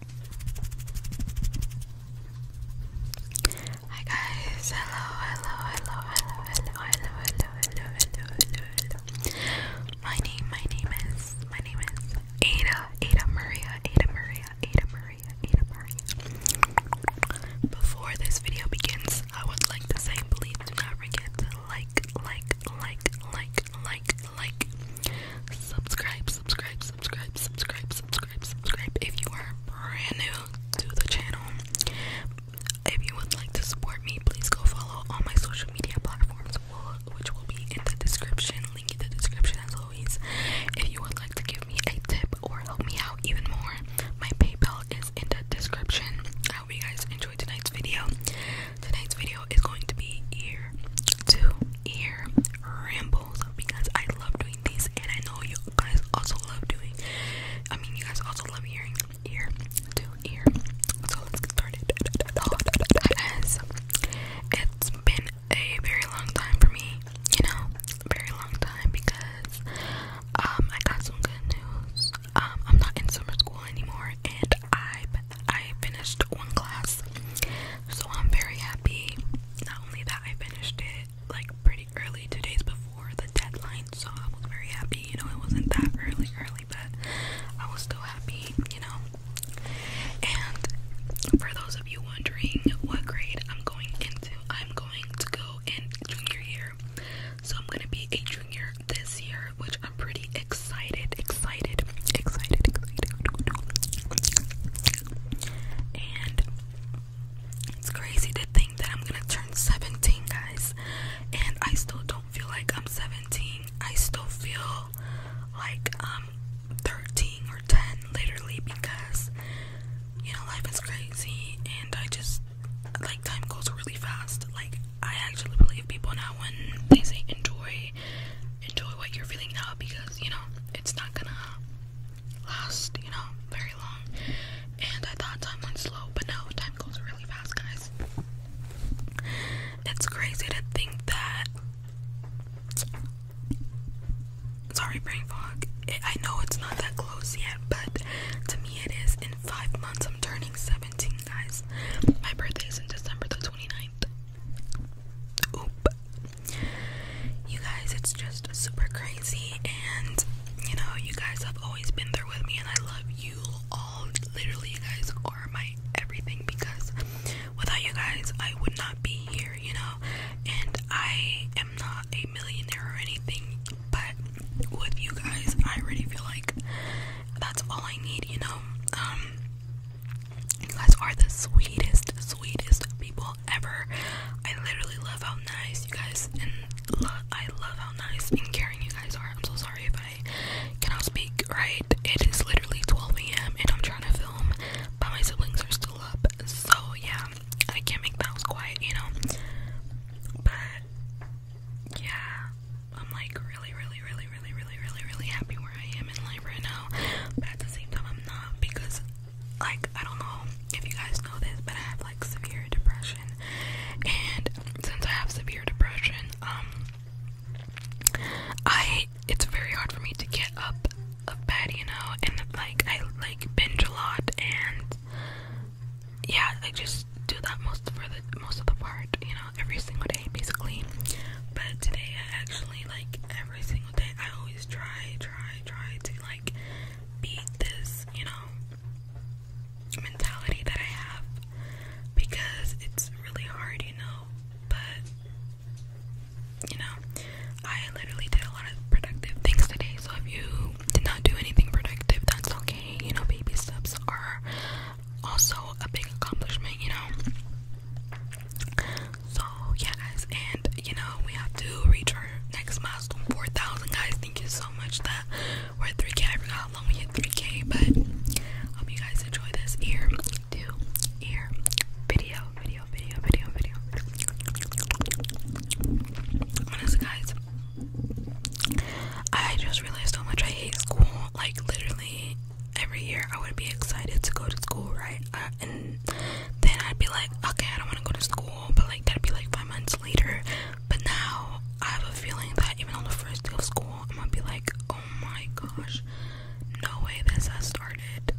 Hi guys, hello, hello, hello, hello, hello, hello, hello, hello, My name, my name is, my name is Ada, Ada Maria, Ada Maria, Ada Maria, Ada Maria. Before this video begins, I would like to say please do not forget to like, like, like, like, like, like, subscribe, subscribe, subscribe, subscribe, subscribe, subscribe. If you are brand new to the channel, if you would like to support me, please go follow all my social media platforms, which will be in the description. Link in the description as always. If you would like to give me a tip or help me out even more, my PayPal is in the description. I hope you guys enjoy tonight's video tonight's video is going to be ear to ear rambles because I love doing these and I know you guys also love doing I mean you guys also love hearing ear to ear. So let's get started. As it's been a very long time for me, you know, a very long time because um I got some good news. Um I'm not in summer school anymore and I I finished one class, so I'm very happy. Not only that I finished it like pretty early, two days before the deadline, so I was very happy. You know, it wasn't that early, early, but I was still happy. You know, and for those of you wondering what grade I'm going into, I'm going to go in junior year. So I'm gonna be a junior this year, which I'm pretty excited, excited, excited, excited. And it's crazy to think that I'm gonna turn 17, guys. And I still don't feel like I'm 17. I still feel like I'm 13 or 10, literally, because you know, life is crazy. And I just like time goes really fast. Like, I actually believe people now when they say enjoy enjoy what you're feeling now because you know it's not gonna last, you know, very long. And I thought time went slow, but no, time goes really fast, guys. It's crazy to think that. Sorry, brain fog. I know it's not that close yet, but to me it is. In five months, I'm turning 17, guys. My birthday is in December the 29th. Oop. You guys, it's just super crazy, and you know, you guys have always been there with me, and I love you all. Literally, you guys are my everything because without you guys, I would not be here, you know. And I am not a millionaire or anything, but with you guys, I really feel like that's all I need, you know. Um, you guys are the sweetest, sweetest people ever. I literally love how nice you guys and I love how nice and caring you guys are. I'm so sorry if I cannot speak right. It is literally 12 a.m. and I'm trying to film, but my siblings are still up. So yeah, I can't make the house quiet, you know. But yeah, I'm like really, really, really, really, really, really, really happy where I am in life right now. But at the same time, I'm not because, like, I don't know if you guys know this, but I have like severe depression, and since I have severe depression, um, I it's very hard for me to get up of bed, you know, and like I like binge a lot and yeah, like just do that most for the most of the part, you know every single day basically. But today I actually like every single day I always try, try, try to like beat this, you know, mentality that I have because it's really hard, you know. But you know, I literally did a lot of productive things today, so if you did not do anything productive, that's okay. You know, baby steps are also a big accomplishment, you know. So yeah, guys, and you know we have to reach our next milestone, 4,000 guys. Thank you so much that we're at 3K. I forgot how long we hit 3K, but hope you guys enjoy this ear to ear video, video, video, video, video. Honestly, guys, I just realized how much I hate school like literally every year, I would be excited to go to school, right? Uh, and then I'd be like, okay, I don't want to go to school, but like that'd be like five months later. But now I have a feeling that even on the first day of school, I'm gonna be like, oh my gosh, no way this has started,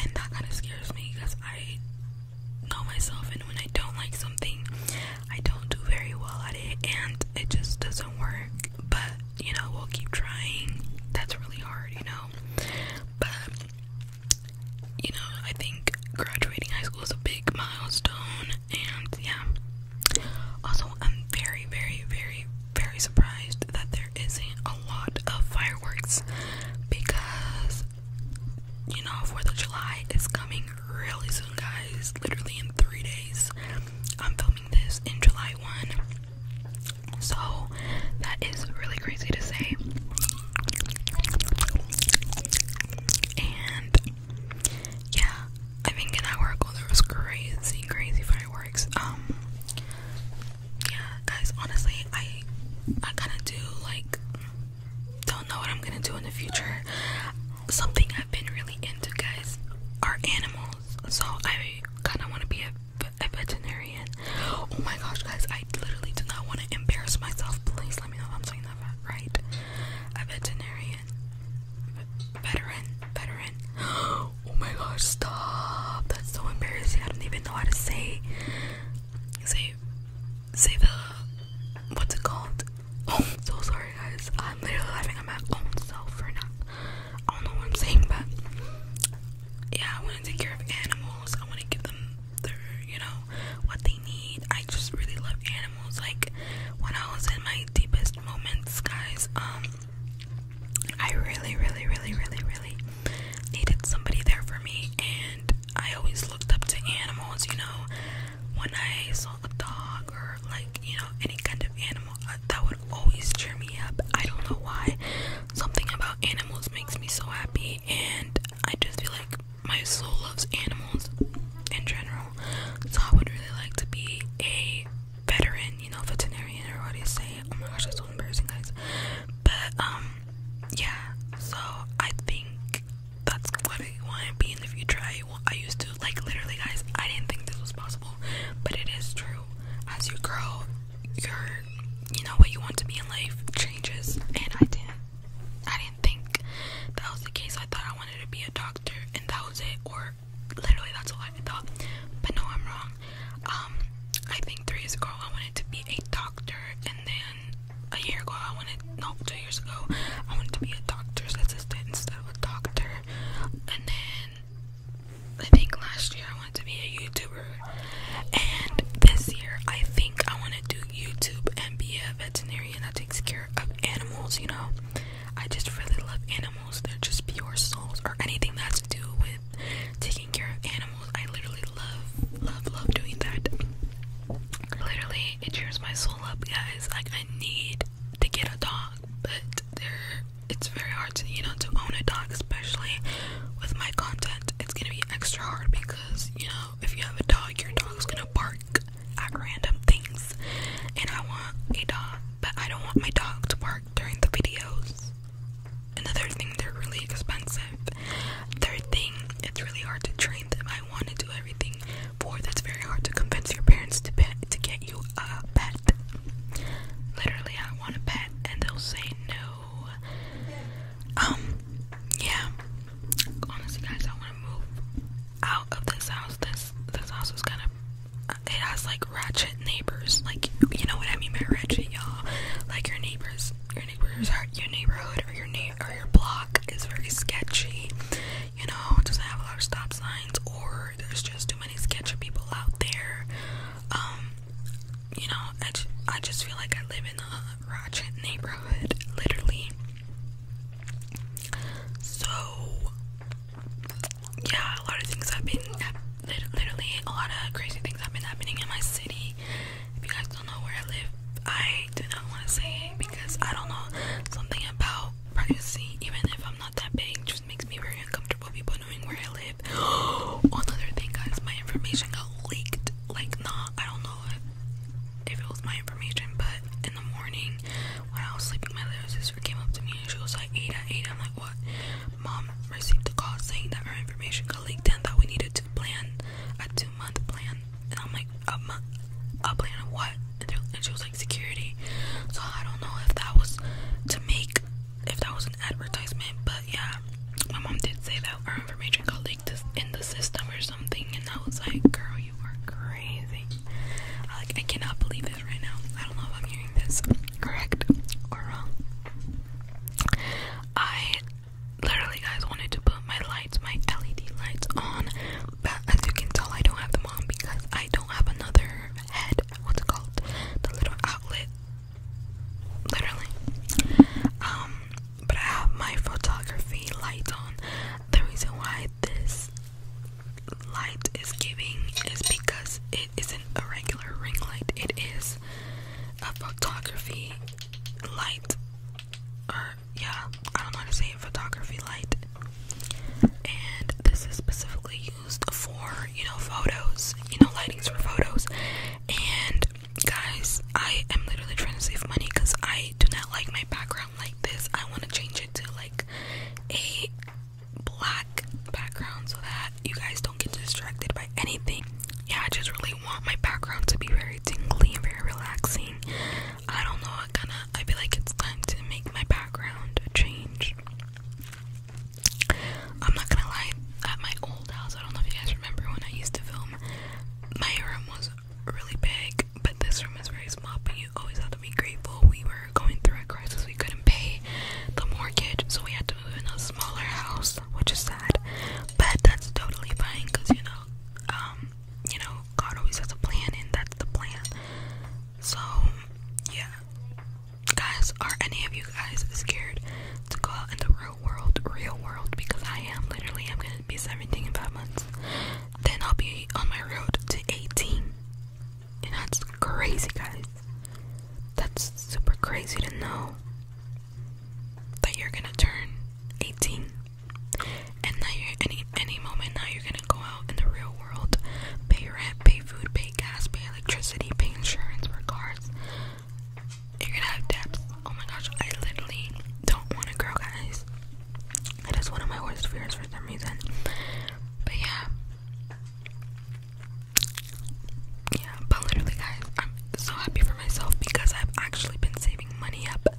and that kind of scares me because I know myself, and when I don't like something, I don't do very well at it and it just doesn't work. But you know, we'll keep trying. That's really hard, you know. But you know, I think graduating high school is a big milestone, and yeah. Also, I'm very, very, very, very surprised that there isn't a lot of fireworks because you know, 4th of July is coming really soon, guys. Literally in three days. I'm filming this in July 1. So, that is really crazy to say. And, yeah, I think an hour work all those crazy, crazy fireworks. Um, yeah, guys, honestly, I, I kind of do like don't know what I'm gonna do in the future. Something I've been really into, guys, are animals. So I kind of want to be a, veterinarian. Oh my gosh, guys, I literally do not want to embarrass myself. Please let me know if I'm saying that right. A veterinarian, veteran, veteran. Oh my gosh, stop! That's so embarrassing. I don't even know how to say say say the what's it called Oh, I'm so sorry, guys. I'm literally laughing at my own self for not. I don't know what I'm saying, but yeah, I want to take care of animals. I want to give them their, you know, what they need. I just really love animals. Like when I was in my deepest moments, guys. Um, I really, really, really, really, really needed somebody there for me, and I always looked up to animals. You know, when I saw a dog or like you know any kind of animal uh, that would always cheer me up. I don't know why. Something about animals makes me so happy, and I just feel like my soul loves animals in general. So I would really like to be a veteran, you know, veterinarian or what do you say? Oh my gosh, that's so embarrassing, guys. But um, yeah. So I think that's what I want to be in the future. I, I used to, like, literally, guys, I didn't think this was possible, but it is true. As you grow, your, you know, what you want to be in life changes, and I didn't. I didn't think that was the case. I thought I wanted to be a doctor, and that was it, or literally that's all I thought. But no, I'm wrong. Um, I think three years ago I wanted to be a doctor doctor, and then a year ago I wanted no two years ago I wanted to be a doctor's assistant instead of a doctor, and then I think last year I wanted to be a YouTuber, and this year I think I want to do YouTube and be a veterinarian that takes care of animals. You know, I just really love animals. They're just pure souls, or anything that's to do with taking care of animals. I literally love, love, love doing that. Literally, it cheers my soul up, guys. Like, I need to get a dog, but there, it's very hard to, you know, to own a dog, especially with my content. It's gonna be extra hard because, you know, if you have a dog, your dog's gonna bark at random things, and I want a dog, but I don't want my dog to bark during the videos. Another thing, they're really expensive. Third thing, it's really hard to train them. I want to do everything. for. That's very hard to convince your parents to pet, to get you a pet. Literally, I want a pet, and they'll say no. Um, yeah. Honestly, guys, I want to move out of this house. This this house is kind of it has like ratchet neighbors. Like you know what I mean by ratchet, y'all. Like your neighbors, your neighbors are your neighborhood or your neighbor street or your block is very sketchy, you know, doesn't have a lot of stop signs, or there's just too many sketchy people out there. Um, you know, I, just feel like I live in a ratchet neighborhood, literally. So, yeah, a lot of things have been, literally, a lot of crazy things have been happening in my city. If you guys don't know where I live, I do not want to say it because I don't know something about privacy. Even if I'm not that big, just makes me very uncomfortable. People knowing where I live. Another thing, guys, my information got leaked. Like, nah, I don't know if, it was my information, but in the morning when I was sleeping, my little sister came up to me and she was like, "Ada, Ada," I'm like, "What?" Mom received a call saying that her information got leaked and that we needed to plan a two month plan, and I'm like, a month, a plan of what? And, and she was like, security. So I don't know if that was to make, if that was an advertisement, but yeah, my mom did say that our information got leaked in the system or something, and I was like, girl, you are crazy. I, like, I cannot believe this right now. I don't know if I'm hearing this correct or wrong. I literally, guys, wanted to put my lights, my LED lights on, but as you can tell, I don't have them on because I don't have another head. What's it called? The little outlet. Literally. Um, but I have my photography lights on. The reason why this light is giving is because it isn't a regular ring light. It is a photography light or yeah, I don't know to say photography light. And this is specifically used for, you know, photos, you know, lighting for photos. And guys, I am literally trying to save money because I do not like my background like this. I want to change it to like a black background so that you guys don't get distracted by anything. Yeah, I just really want my background to be very tingly and very relaxing. I don't know, I kinda I feel like it's time to make my background a change. I'm not gonna lie, at my old house, I don't know if you guys remember when I used to film, my room was really big, but this room is very small. But you always have to be grateful. We were going through a crisis, we couldn't pay the mortgage, so we had to move in a smaller house which is sad. But that's totally fine because you know, um, you know, God always has a plan and that's the plan. So yeah. Guys, are any of you guys scared to go out in the real world, real world? Because I am literally I'm gonna be 17 in five months. Then I'll be on my road to 18. And that's crazy guys. That's super crazy to know that you're gonna turn 18 and that you're any any moment now you're gonna go out in the real world, pay rent, pay food, pay gas, pay electricity, pay insurance for cars. You're gonna have debts. Oh my gosh, I literally don't want a girl, guys. It is one of my worst fears for some reason. But yeah, yeah, but literally, guys, I'm so happy for myself because I've actually been saving money up.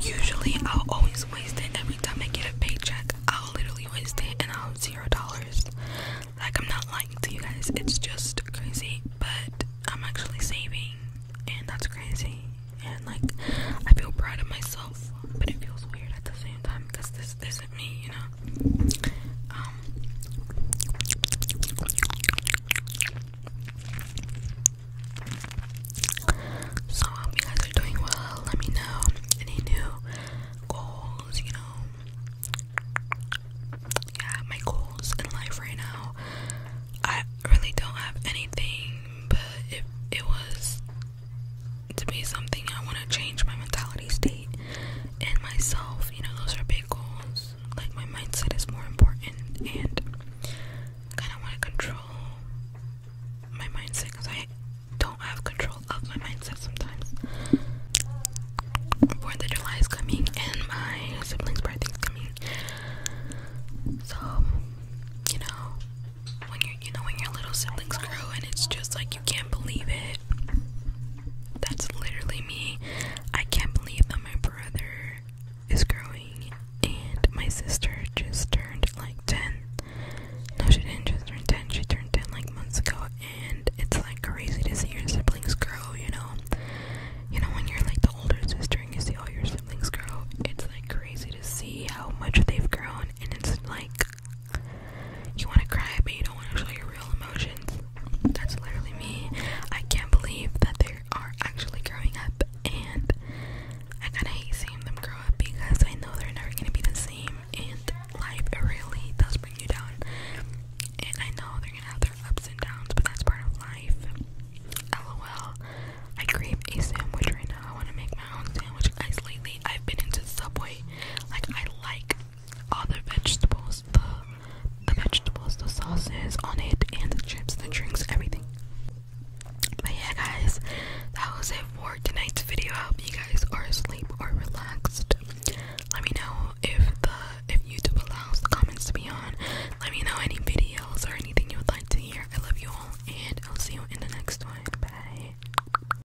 Usually, I'll always waste it every time I get a paycheck. I'll literally waste it and I'll have zero dollars. Like, I'm not lying to you guys, it's just crazy, but I'm actually saving, and that's crazy. And like, I feel proud of myself, but it feels weird at the same time because this, this me, you know. Um, so you guys are doing well. Let me know any new goals, you know. Yeah, my goals in life right now. I really don't have anything, but if it was to be something I want to change my mentality state and myself. You know, those are big goals. Like, my mindset is more important, and I kind of want to control my mindset because I don't have control of my mindset sometimes. Fourth of July is coming, and my siblings' birthdays coming. So, you know, when you you know when your little siblings grow, and it's just like I can't believe it. That's literally me. I can't believe that my brother is growing and my sister just turned like 10. No, she didn't just turn 10. She turned 10 like months ago and it's like crazy to see your siblings grow, you know. You know when you're like the older sister and you see all your siblings grow, it's like crazy to see how much they've grown and it's like you want to cry, but you don't want to show your real emotions. That's literally me. I can't believe that they are actually growing up, and I kind of hate seeing them grow up because I know they're never going to be the same, and life really does bring you down. And I know they're going to have their ups and downs, but that's part of life. LOL. I crave a sandwich right now. I want to make my own sandwich. Guys, lately I've been into Subway. Like, I like all the vegetables, the the vegetables, the sauces on it, and the chips, the drinks, everything. But yeah, guys, that was it for tonight's video. I hope you guys are asleep or relaxed. Let me know if the if YouTube allows the comments to be on. Let me know any videos or anything you would like to hear. I love you all, and I'll see you in the next one. Bye.